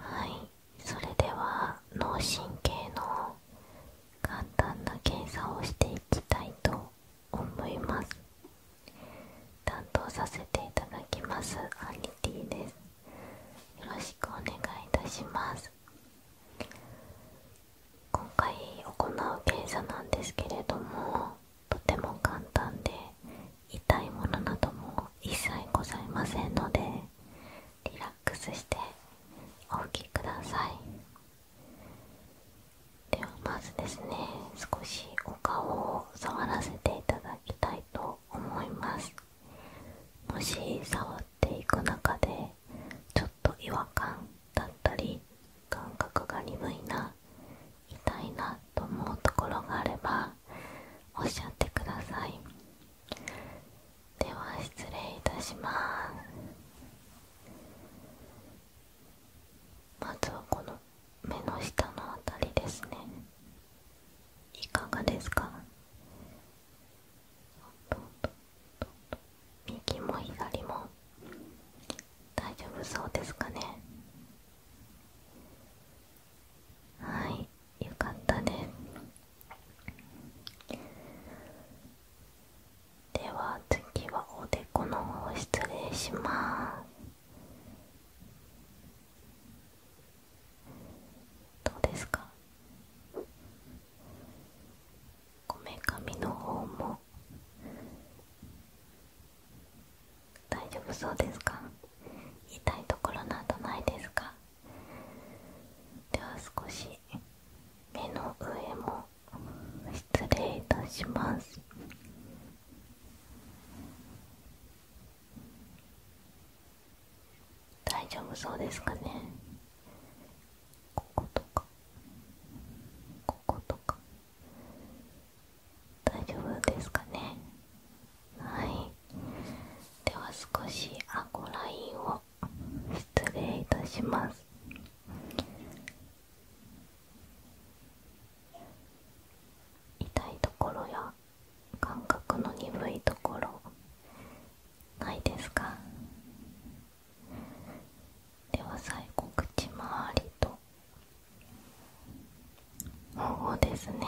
はいそれでは脳神経の簡単な検査をしていきたいと思います担当させていただきますアニティですよろしくお願いいたします今回行う検査なんですけれどもとても簡単で痛いものなども一切ございませんのでリラックスしてお吹きくださいではまずですね少しお顔を触らせていただきたいと思いますもし触っていく中でちょっと違和感だったり感覚が鈍いな痛いなと思うところがあればおっしゃってくださいでは失礼いたしますまずはこの目の下のあたりですねいかがですか右も左も大丈夫そうですかねはいよかったねでは次はおでこの方失礼しますどうですかこめかみの方も大丈夫そうですか痛いところなどないですかでは少し目の上も失礼いたします大丈夫そうですかねこことかこことか大丈夫ですかねはいでは少しあごラインを失礼いたします痛いところや感覚の鈍いところないですかでは最後口周りとうですね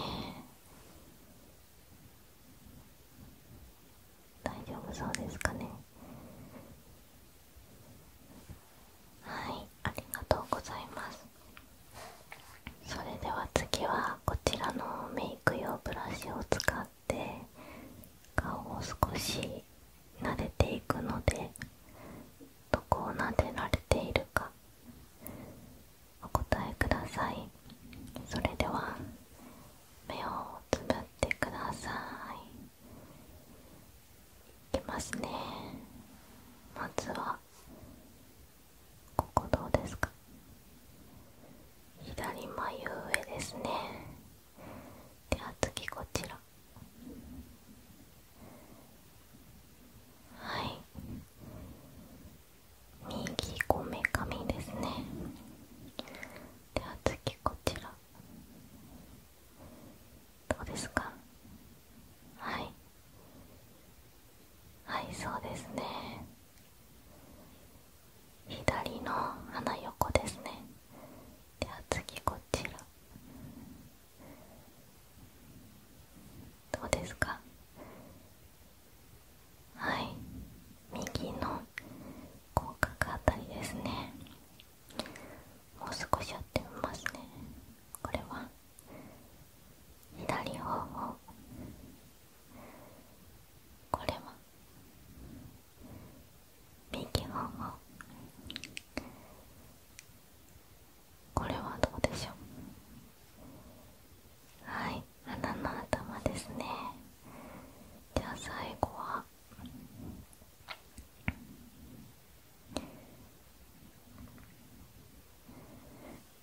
大丈夫そうですかねはいありがとうございますそれでは次はこちらのメイク用ブラシを使って顔を少し撫でていくのでどこを撫でられているかお答えくださいそれでは目をつぶってくださいいきますねまずはここどうですか左眉上ですねでは次こちらはい右こめかみですねでは次こちらどうですかはいはいそうですね左の鼻横ですねでは次こちらどうですかはい右の口角あたりですねもう少しやってみますねこれは左方向これは右方向これはどうでしょうはい鼻の頭ですねじゃあ最後は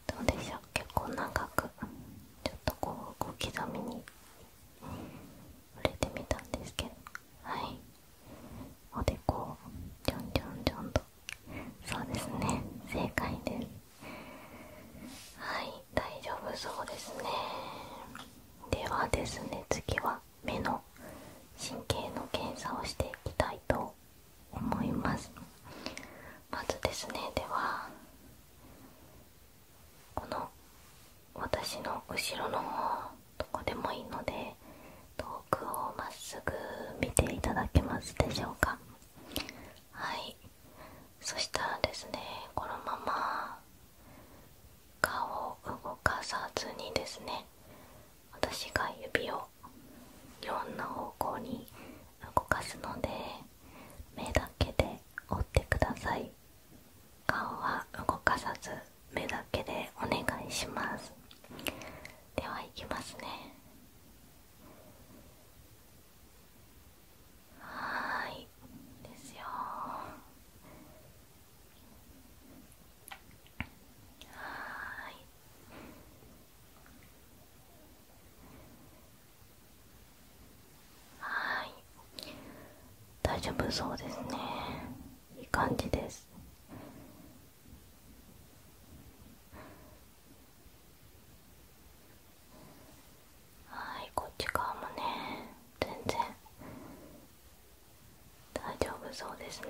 どうでしょう結構長くちょっとこう小刻みに触れてみたんですけどはいおでこをちょんちょんちょんとそうですね正解ですはい大丈夫そうですねではですね次は目の神経の検査をしていきたいと思いますまずですねではこの私の後ろの方どこでもいいので遠くをまっすぐ見ていただけますでしょうかはいそしたらですねこのまま顔を動かさずにですね私が指をいろんな方向に動かすので目だけで折ってください顔は動かさず目だけでお願いしますではいきますねはいですよはいはい大丈夫そうですねいい感じですはいこっち側もね全然大丈夫そうですね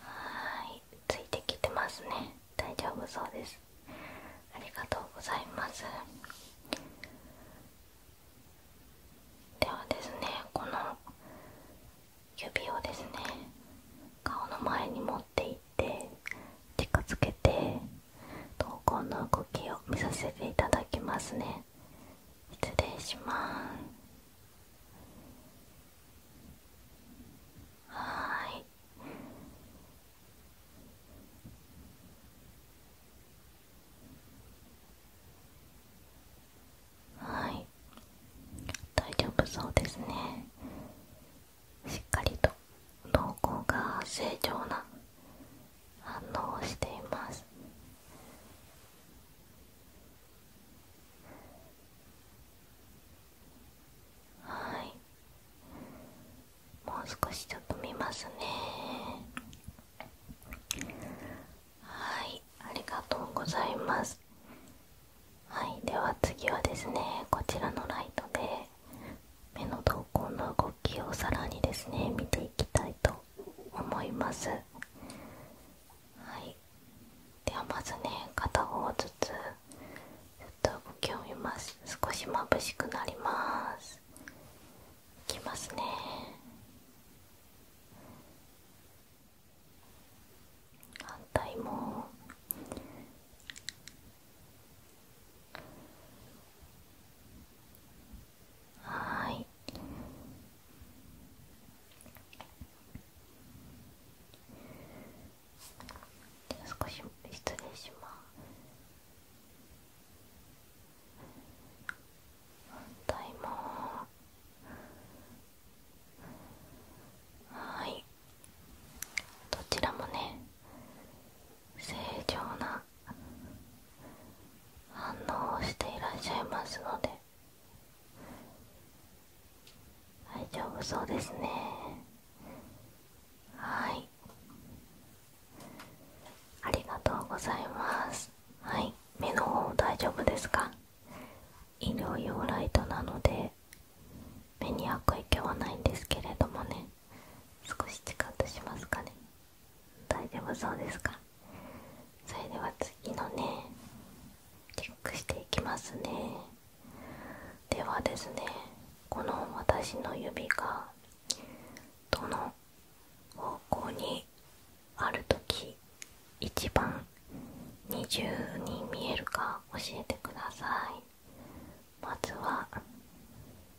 はいついてきてますね大丈夫そうですありがとうございますではですねこの指をですね顔の前に持っていって近づけて投稿の動きを見させていただきますね失礼しますはいはい大丈夫そうですねしっかりと瞳孔が正常な反応をしていますはいもう少しちょっと見ますねはいありがとうございますはいでは次はですねこちらのライトで目の瞳孔の動きをさらにですね見ていきたいと思いますはいではまずね片方ずつちっと動きを見ます少し眩しくなりますきますね反対もはい少し失礼します反対もはいどちらもね正常な反応をしていらっしゃいますので大丈夫そうですねはいありがとうございますはい目の方大丈夫ですか医療用ライトなので目に悪影響はないんですけれどもね少しチカッとしますかね大丈夫そうですかそれでは次のねチェックしていきますねではですねこの私の指がどの方向にある時一番二重に見えるか教えてくださいまずは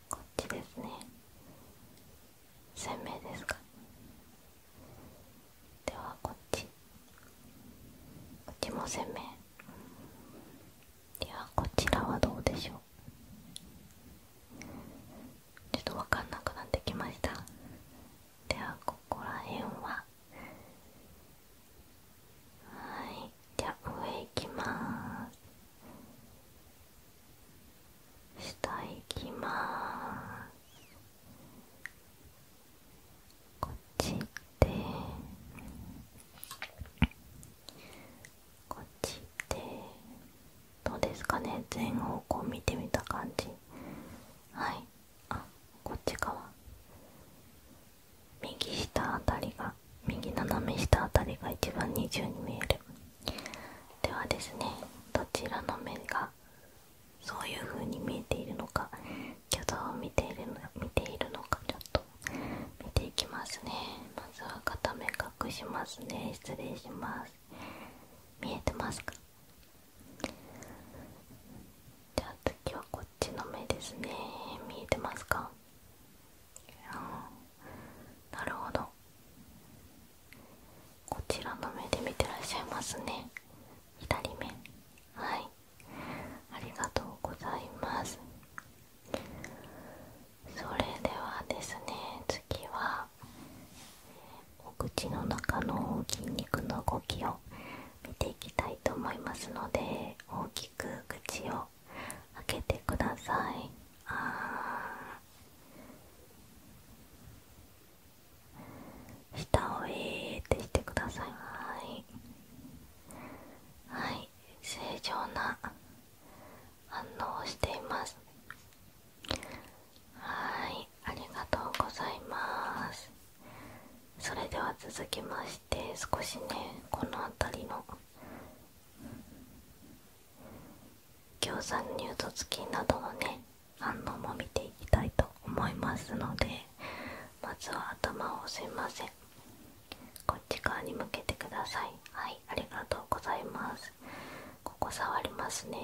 こっちですね鮮明ですかではこっちこっちも鮮明ではこちらはどうでしょうちょっと分かんなくなってきましたではここら辺ははいじゃあ上いきます下行きますこっちで。こっちで。どうですかね全方向見てみた感じはいあこっち側右下あたりが右斜め下あたりが一番二重に見えるではですねどちらの面がそういう風に見えているのか虚像を見ているの見ているのかちょっと見ていきますねまずは片目隠しますね失礼します見えてますかじゃあ次はこっちの目ですね見えてますかなるほどこちらの目で見てらっしゃいますね左目はいありがとうございますそれではですね次はお口の中の筋肉の動きを見ていきたいと思いますので大きく口を開けてくださいああ。舌をえーってしてくださいはい正常な反応をしていますはいありがとうございますそれでは続きまして少しねこの辺りの餃子乳突付などのね反応も見ていきたいと思いますのでまずは頭をすいませんこっち側に向けてくださいはいありがとうございますここ触りますね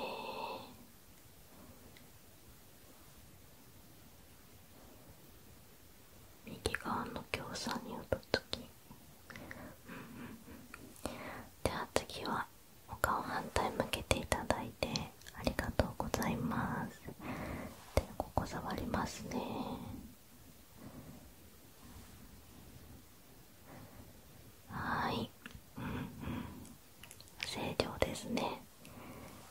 右側の強さに打つときでは次はお顔反対向けていただいてありがとうございますでここ触りますねはいううんん。正常ですね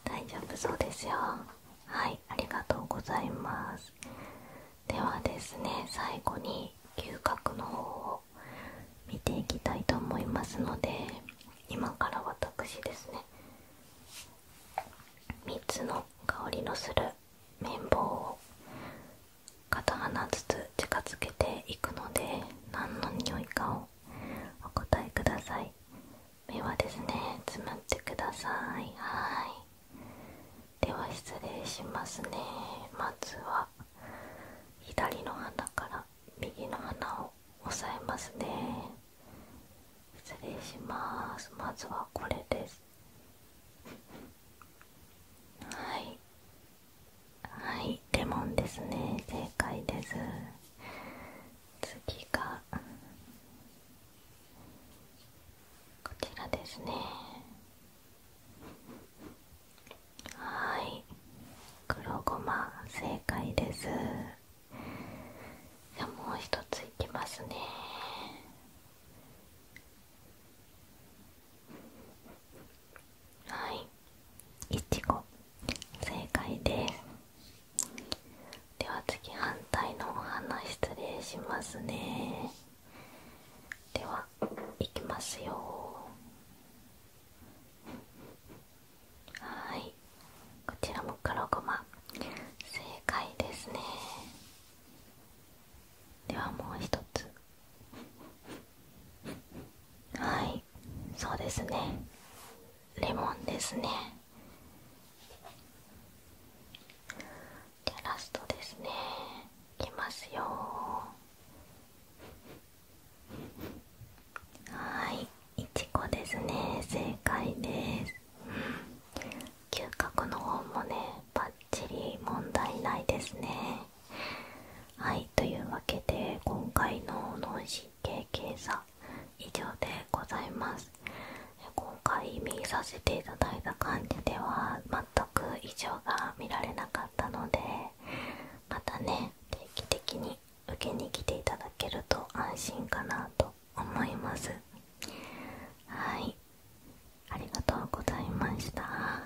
大丈夫そうですよはいありがとうございますではですね最後に嗅覚の方を見ていきたいと思いますので今から私ですね3つの香りのする綿棒を片鼻ずつ近づけていくので何の匂いかをお答えください目はですねつむってくださいはいでは失礼しますねまずは左の鼻から右の鼻を押さえますね失礼しますまずはこれですはいはいレモンですね正解です次がこちらですねはい黒ごま正解ですじゃあもう一ついきますねはいいちご正解ですでは次反対のお花失礼しますねではいきますよはいこちらも黒ごま正解ですねではもう一つはいそうですねレモンですねじゃあラストですねいきますよはいいちですね正解です、うん、嗅覚の方もねばっちり問題ないですねはいというわけで今回の脳神経検査以上でございます今回見させていただいた感じでは全く異常が見られなかったのでまたね定期的に受けに来ていただけると安心かなと思いますはいありがとうございました